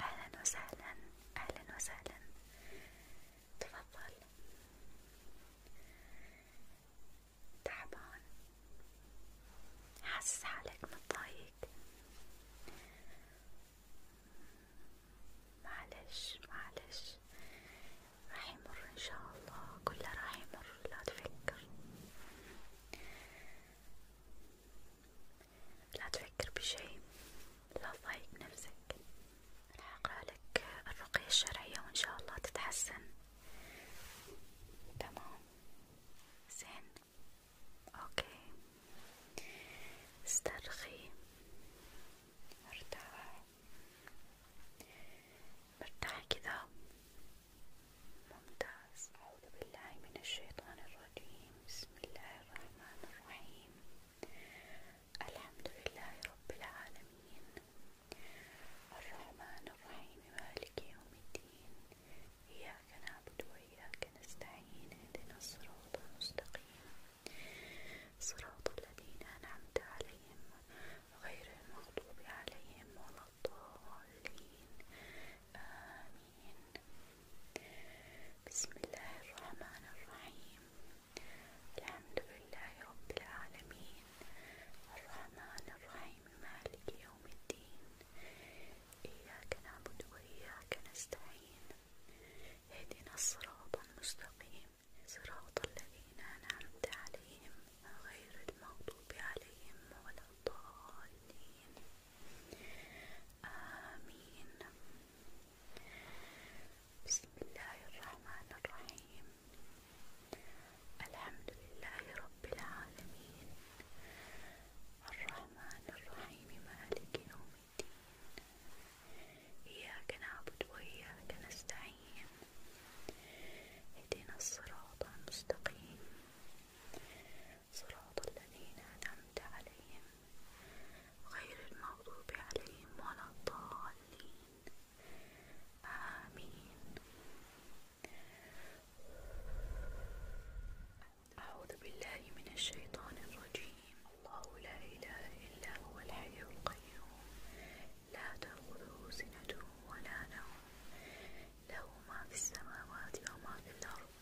أهلا وسهلا أهلا وسهلا تفضل تعبان حاسس حالك متضايق معلش معلش راح يمر إن شاء الله كله راح يمر لا تفكر لا تفكر بشي لا تضايق نفسك راح أقرأ لك الرقية الشرعية وإن شاء الله تتحسن تمام زين اوكي استرخي ارتاح مرتاح كذا ممتاز أعوذ بالله من الشيطان الرجيم بسم الله الرحمن الرحيم الحمد لله رب العالمين الرحمن الرحيم مالك يوم الدين إياك نعبد وإياك نستعين اهدنا الصراط المستقيم صراط الذين أنعمت عليهم غير المغضوب عليهم ولا الضالين آمين بسم الله الرحمن الرحيم الحمد لله رب العالمين الرحمن الرحيم مالك يوم الدين إياك نعبد وإياك نستعين اهدنا الصراط المستقيم صراط الذين أنعمت عليهم غير المغضوب عليهم ولا الضالين آمين بسم الله الرحمن الرحيم الحمد لله رب العالمين الرحمن الرحيم مالك يوم الدين إياك نعبد وإياك نستعين اهدنا الصراط المستقيم صراط الذين أنعمت عليهم غير المغضوب عليهم ولا الضالين آمين أعوذ بالله من الشيطان الرجيم الله لا إله إلا هو الحي القيوم لا تأخذه سنة ولا نوم له ما في السماوات وما في الأرض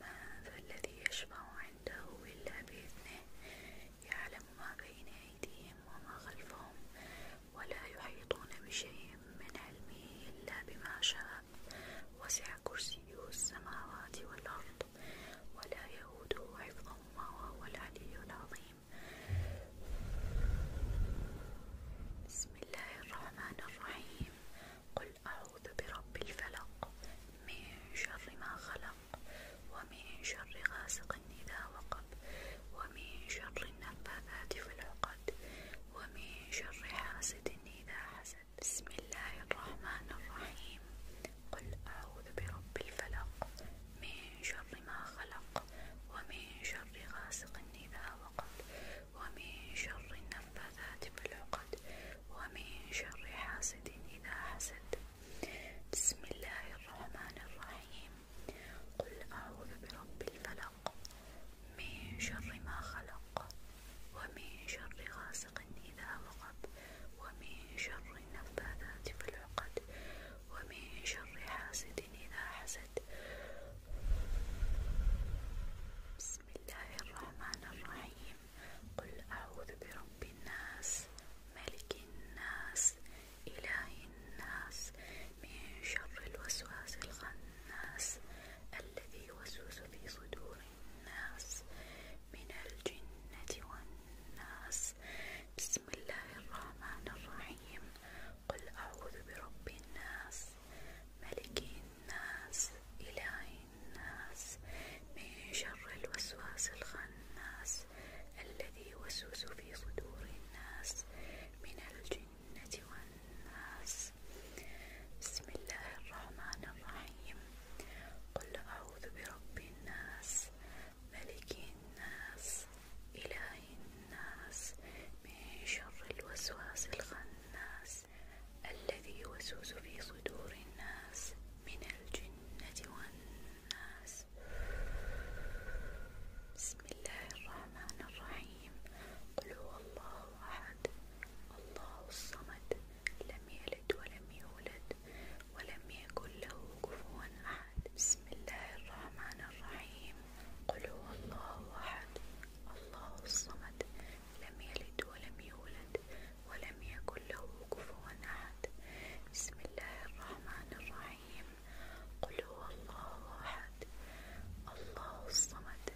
من ذا الذي يشفع عنده إلا بإذنه يعلم ما بين أيديهم وما خلفهم ولا يحيطون بشيء من علمه إلا بما شاء وسع كرسيه السماوات والأرض ولا يئوده حفظهما وهو العلي العظيم بسم الله الرحمن الرحيم قل أعوذ برب الفلق من شر ما خلق ومن شر غاسق إذا وقب ومن شر النفاثات في العقد ومن شر حاسد إذا حسد بسم الله الرحمن الرحيم قل أعوذ برب الفلق من ومن شر ما خلق ومن شر غاسق إذا وقب ومن شر النفاثات بالعقد ومن شر حاسد إذا حسد بسم الله الرحمن الرحيم قل أعوذ برب الفلق من شر ما خلق ومن شر غاسق إذا وقب ومن شر النفاثات في العقد ومن شر حاسد إذا حسد بسم الله الرحمن الرحيم قل أعوذ برب الناس ملك الناس إله الناس من شر الوسواس الخناس الذي يوسوس في صدور الناس من الجنة والناس الناس بسم الله الرحمن الرحيم قل أعوذ برب الناس ملك الناس إله الناس من شر الوسواس الخناس الذي يوسوس في صدور الناس من الجنة والناس بسم الله الرحمن الرحيم قل أعوذ برب الناس ملك الناس إله الناس من شر الوسواس الخناس الذي يوسوس في صدور الناس من الجنة والناس بسم الله الرحمن الرحيم قل هو الله أحد الله الصمد لم يلد ولم يولد ولم يكن له كفوا أحد بسم الله الرحمن الرحيم قل هو الله أحد الله الصمد لم يلد ولم يولد ولم يكن له كفوا أحد بسم الله الرحمن الرحيم قل هو الله أحد الله الصمد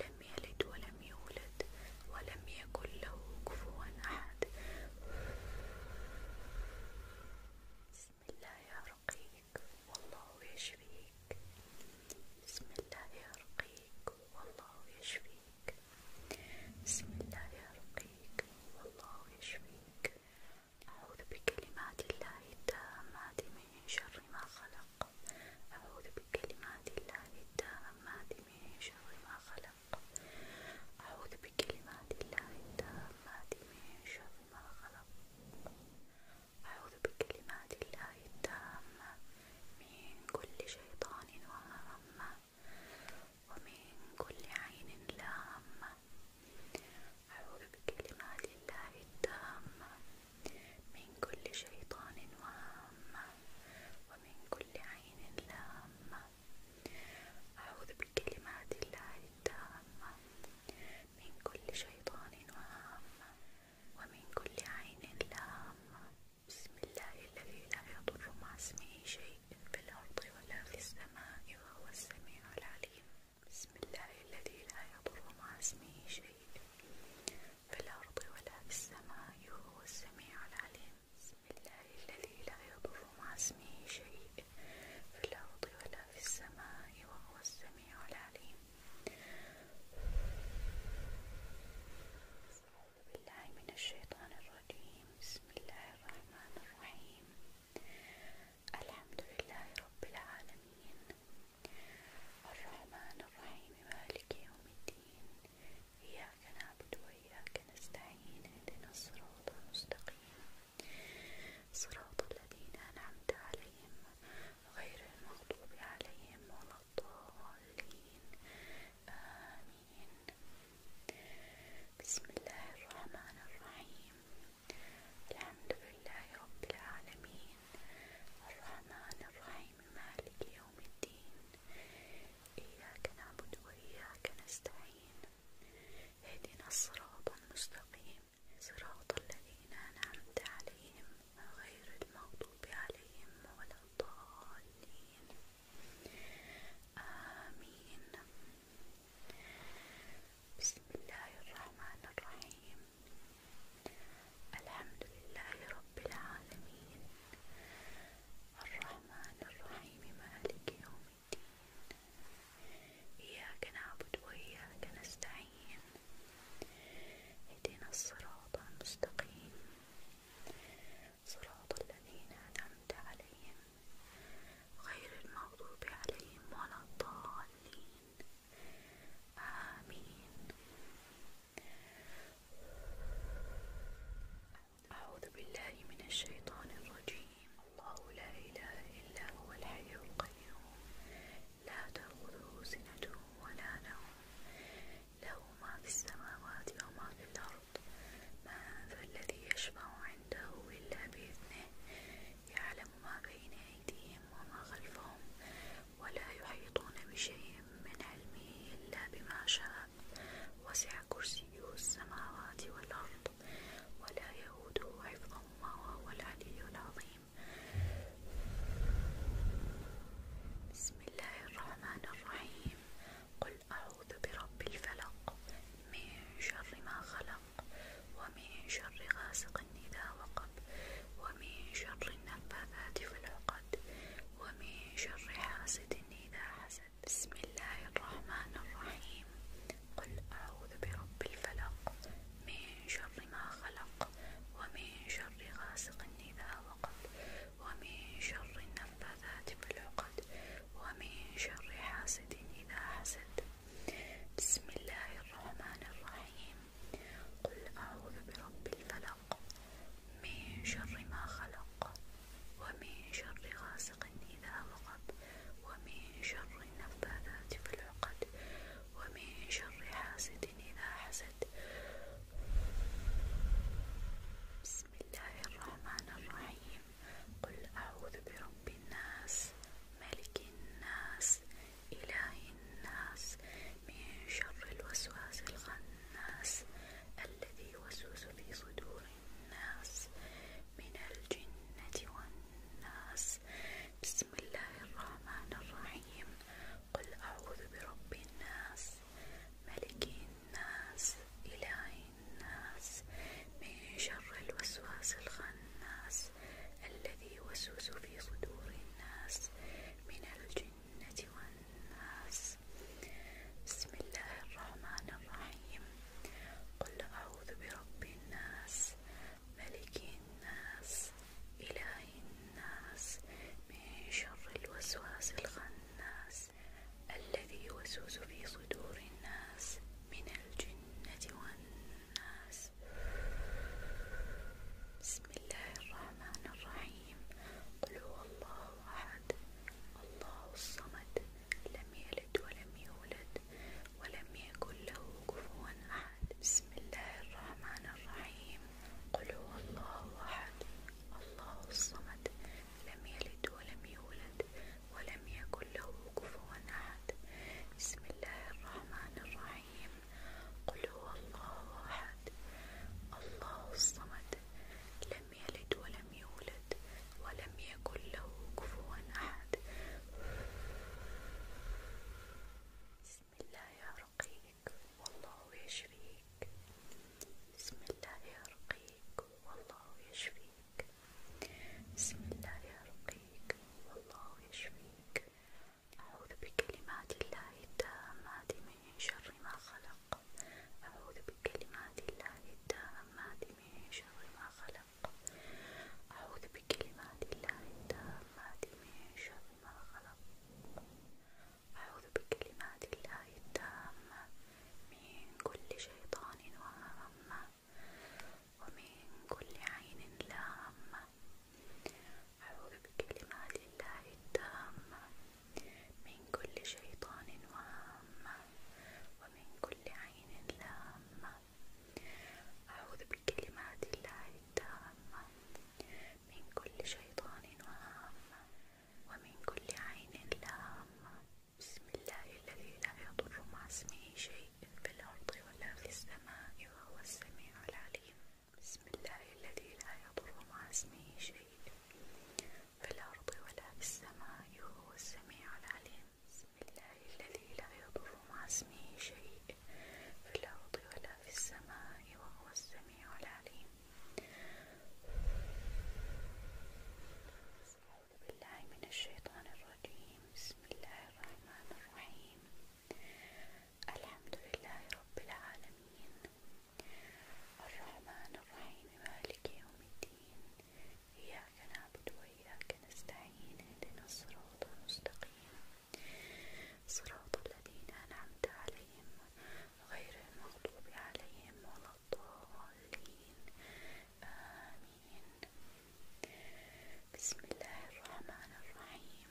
لم يلد ولم يولد ولم يكن له كفوا أحد بعد بسم الله يا رقيق والله يشفيك بسم الله يا رقيق والله يشفيك بسم الله يا رقيق والله يشفيك أعوذ بكلمات الله التامات من شر ما خلق أعوذ بكلمات الله التامات من شر ما خلق خلق أعوذ بكلمات الله التامات من شر ما خلق أعوذ بكلمات الله التامة من كل شيطان وهامة ومن كل عين لامة أعوذ بكلمات الله التامة من كل شيطان وهامة ومن كل عين لامة أعوذ بكلمات الله التامة من كل شيطان وهامة ومن كل عين لامة بسم الله الذي لا يضر مع اسمه شيء في الأرض ولا في السماء وهو السميع العليم بسم الله الذي لا يضر مع اسمه شيء في الأرض ولا في السماء وهو السميع العليم بسم الله الذي لا يضر مع اسمه شيء في الأرض ولا في السماء وهو السميع العليم أعوذ بالله من الشيطان الرجيم بسم الله الرحمن الرحيم الحمد لله رب العالمين الرحمن الرحيم مالك يوم الدين إياك نعبد وإياك نستعين اهدنا الصراط المستقيم صراط الذين أنعمت عليهم غير المغضوب عليهم ولا الضالين آمين بسم الله الرحمن الرحيم الحمد لله رب العالمين الرحمن الرحيم مالك يوم الدين إياك نعبد وإياك نستعين اهدنا الصراط المستقيم صراط الذين أنعمت عليهم غير المغضوب عليهم ولا الضالين آمين بسم الله الرحمن الرحيم الحمد لله رب العالمين الرحمن الرحيم مالك يوم الدين إياك نعبد وإياك نستعين اهدنا الصراط المستقيم صراط الذين أنعمت عليهم غير المغضوب عليهم ولا الضالين آمين أعوذ بالله من الشيطان الرجيم الله لا إله إلا هو الحي القيوم لا تأخذه سنة ولا نوم له ما في السماوات وما في الأرض من ذا الذي يشفع عنده إلا بإذنه يعلم ما بين أيديهم وما خلفهم ولا يحيطون بشيء من علمه إلا بما شاء وسع كرسيه السماوات والأرض ولا يئوده حفظهما وهو العلي العظيم بسم الله الرحمن الرحيم قل أعوذ برب الفلق من شر ما خلق ومن شر غاسق إذا وقب ومن شر النفاثات في العقد ومن شر حاسد إذا حسد بسم الله الرحمن الرحيم قل أعوذ برب الفلق من شر ما خلق ومن شر غاسق إذا وقب ومن شر النفاثات في العقد ومن شر حاسد إذا حسد بسم الله الرحمن الرحيم قل أعوذ برب الفلق الفلق من شر ما خلق ومن شر غاسق إذا وقب ومن شر النفاثات في العقد ومن شر حاسد إذا حسد بسم الله الرحمن الرحيم قل أعوذ برب الناس ملك الناس إله الناس من شر الوسواس الخناس الناس الذي يوسوس في صدور الناس من الجنة والناس بسم الله الرحمن الرحيم قل أعوذ برب الناس ملك الناس إله الناس من شر الوسواس الخناس الذي يوسوس في صدور الناس من الجنة الجنة والناس بسم الله الرحمن الرحيم قل أعوذ برب الناس ملك الناس إله الناس من شر الوسواس الخناس الذي يوسوس في صدور الناس من الجنة والناس بسم الله الرحمن الرحيم الرحيم قل هو الله أحد الله الصمد لم يلد ولم يولد ولم يكن له كفوا أحد بسم الله الرحمن الرحيم قل هو الله أحد الله الصمد لم يلد ولم يولد ولم يكن له كفوا أحد بسم الله الرحمن الرحيم قل هو الله أحد الله الصمد لم يلد ولم يولد ولم يكن له كفوا أحد بسم الله يرقيك والله يشفيك بسم الله يرقيك والله يشفيك بسم الله يرقيك والله يشفيك أعوذ بكلمات الله التامات من شر ما خلق الحق أعوذ بكلمات الله التامات من شر ما خلق أعوذ بكلمات الله التامات من شر ما خلق أعوذ بكلمات الله التامة من كل شيطان وهامة ومن كل عين لامة أعوذ بكلمات الله التامة من كل شيطان وهامة ومن كل عين لامة أعوذ بكلمات الله التامة من كل شيطان وهامة ومن كل عين لامة بسم الله الذي لا يضر مع اسمه شيء في الأرض ولا في السماء وهو السميع العليم بسم الله الذي لا يضر مع اسمه شيء في الأرض ولا في السماء وهو السميع العليم بسم الله الذي لا يضر مع اسمه شيء في الأرض ولا في السماء وهو السميع العليم أعوذ بالله من الشيطان الرجيم بسم الله الرحمن الرحيم الحمد لله رب العالمين الرحمن الرحيم مالك يوم الدين إياك نعبد وإياك نستعين اهدنا الصراط المستقيم صراط الذين أنعمت عليهم غير المغضوب عليهم ولا الضالين آمين بسم الله الرحمن الرحيم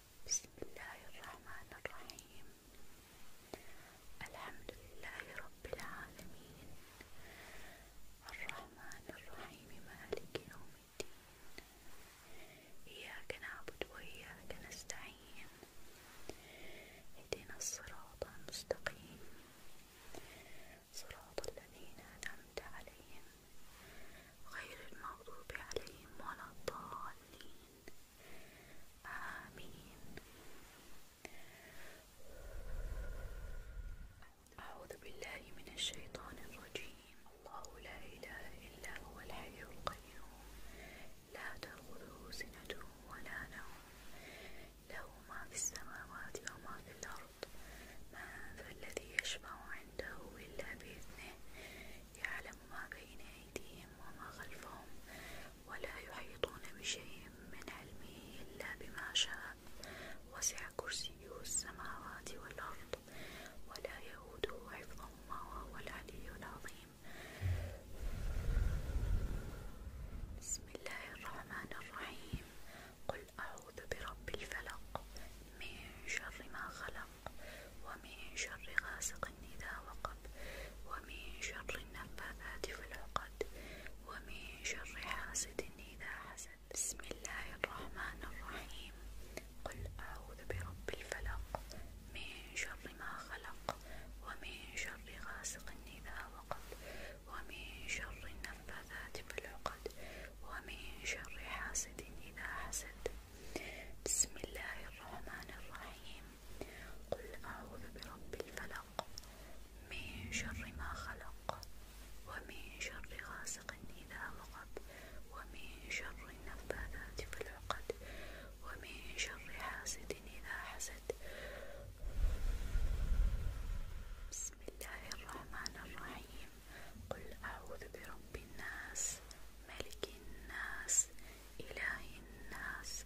بسم الله الرحمن الرحيم الحمد لله رب العالمين الرحمن الرحيم مالك يوم الدين إياك نعبد وإياك نستعين اهدنا الصراط المستقيم صراط الذين أنعمت عليهم غير المغضوب عليهم ولا الضالين آمين أعوذ بالله من الشيطان الرجيم الله لا إله إلا هو الحي القيوم لا تأخذه سنة ولا نوم له ما في السماوات وما في الأرض من ذا الذي يشفع عنده إلا بإذنه يعلم ما بين أيديهم وما خلفهم ولا يحيطون بشيء من علمه إلا بما شاء وسع كرسيه السماوات والأرض ولا يؤوده حفظهما وهو العلي العظيم بسم الله الرحمن الرحيم قل أعوذ برب الفلق من شر ما خلق الحق ومن شر غاسق إذا وقب ومن شر النفاثات في العقد ومن شر حاسد إذا حسد بسم الله الرحمن الرحيم قل أعوذ برب الفلق من شر ما خلق ومن شر غاسق إذا وقب ومن شر النفاثات في العقد ومن شر حاسد إذا حسد بسم الله الرحمن الرحيم قل أعوذ برب الفلق من شر ما خلق ومن شر غاسق إذا وقب ومن شر النفاثات في العقد ومن شر حاسد إذا حسد بسم الله الرحمن الرحيم قل أعوذ برب الناس ملك الناس إله الناس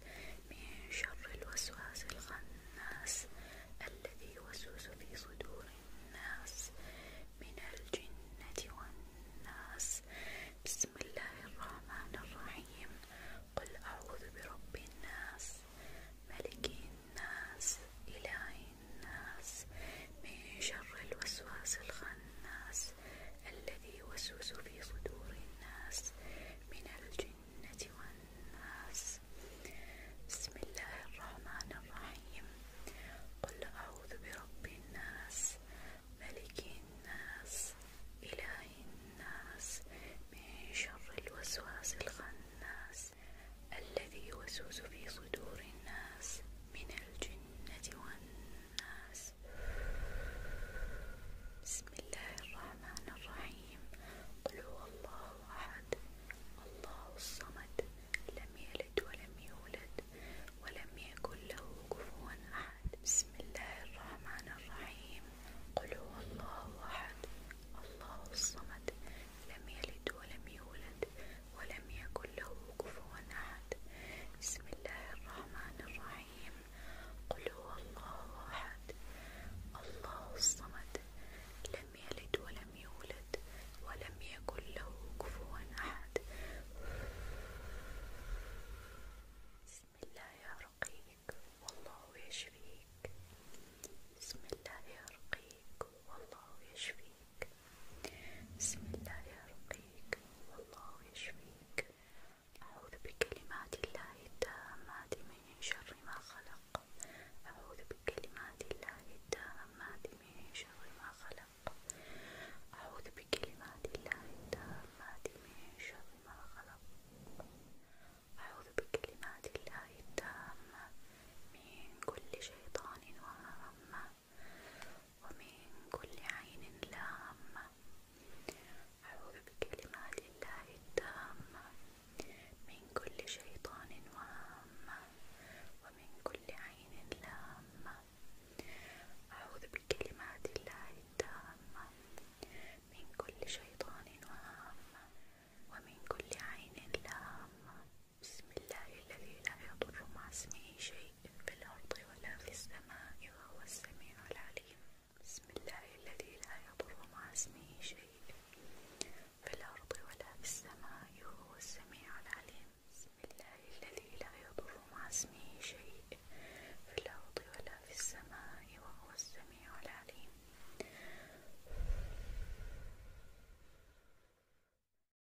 من شر الوسواس الخناس الذي يوسوس في صدور الناس من الجنة والناس بسم الله الرحمن الرحيم قل أعوذ برب الناس ملك الناس إله الناس من شر الوسواس الخناس الذي يوسوس في صدور الناس من الجنة والناس بسم الله الرحمن الرحيم قل أعوذ برب الناس ملك الناس إله الناس من شر الوسواس الخناس الذي يوسوس في صدور الناس من الجنة والناس الناس بسم الله الرحمن الرحيم قل هو الله أحد الله الصمد لم يلد ولم يولد ولم يكن له كفوا أحد بسم الله الرحمن الرحيم قل هو الله أحد الله الصمد لم يلد ولم يولد ولم يكن له كفوا أحد بسم الله الرحمن الرحيم قل هو الله أحد الله الصمد لم يلد ولم يولد ولم يكن له كفوا أحد بسم الله يا رقيق والله يشفيك بسم الله يا رقيق والله يشفيك بسم الله يرقيك والله يشفيك أعوذ بكلمات الله التامات من شر ما خلق أعوذ بكلمات الله التامات من شر ما خلق أعوذ بكلمات الله التامات من شر ما خلق أعوذ بكلمات الله التامة من كل شيطان وهمة ومن كل عين لامة أعوذ بكلمات الله التامة من كل شيطان وهامة ومن كل عين لامة أعوذ بكلمات الله التامة من كل شيطان وهامة ومن كل عين لامة بسم الله الذي لا يضر مع اسمه شيء في الأرض ولا في السماء وهو السميع العليم بسم الله الذي لا يضر مع اسمه شيء في الأرض ولا في السماء وهو السميع العليم بسم الله الذي لا يضر مع اسمه شيء في الأرض ولا في السماء وهو السميع العليم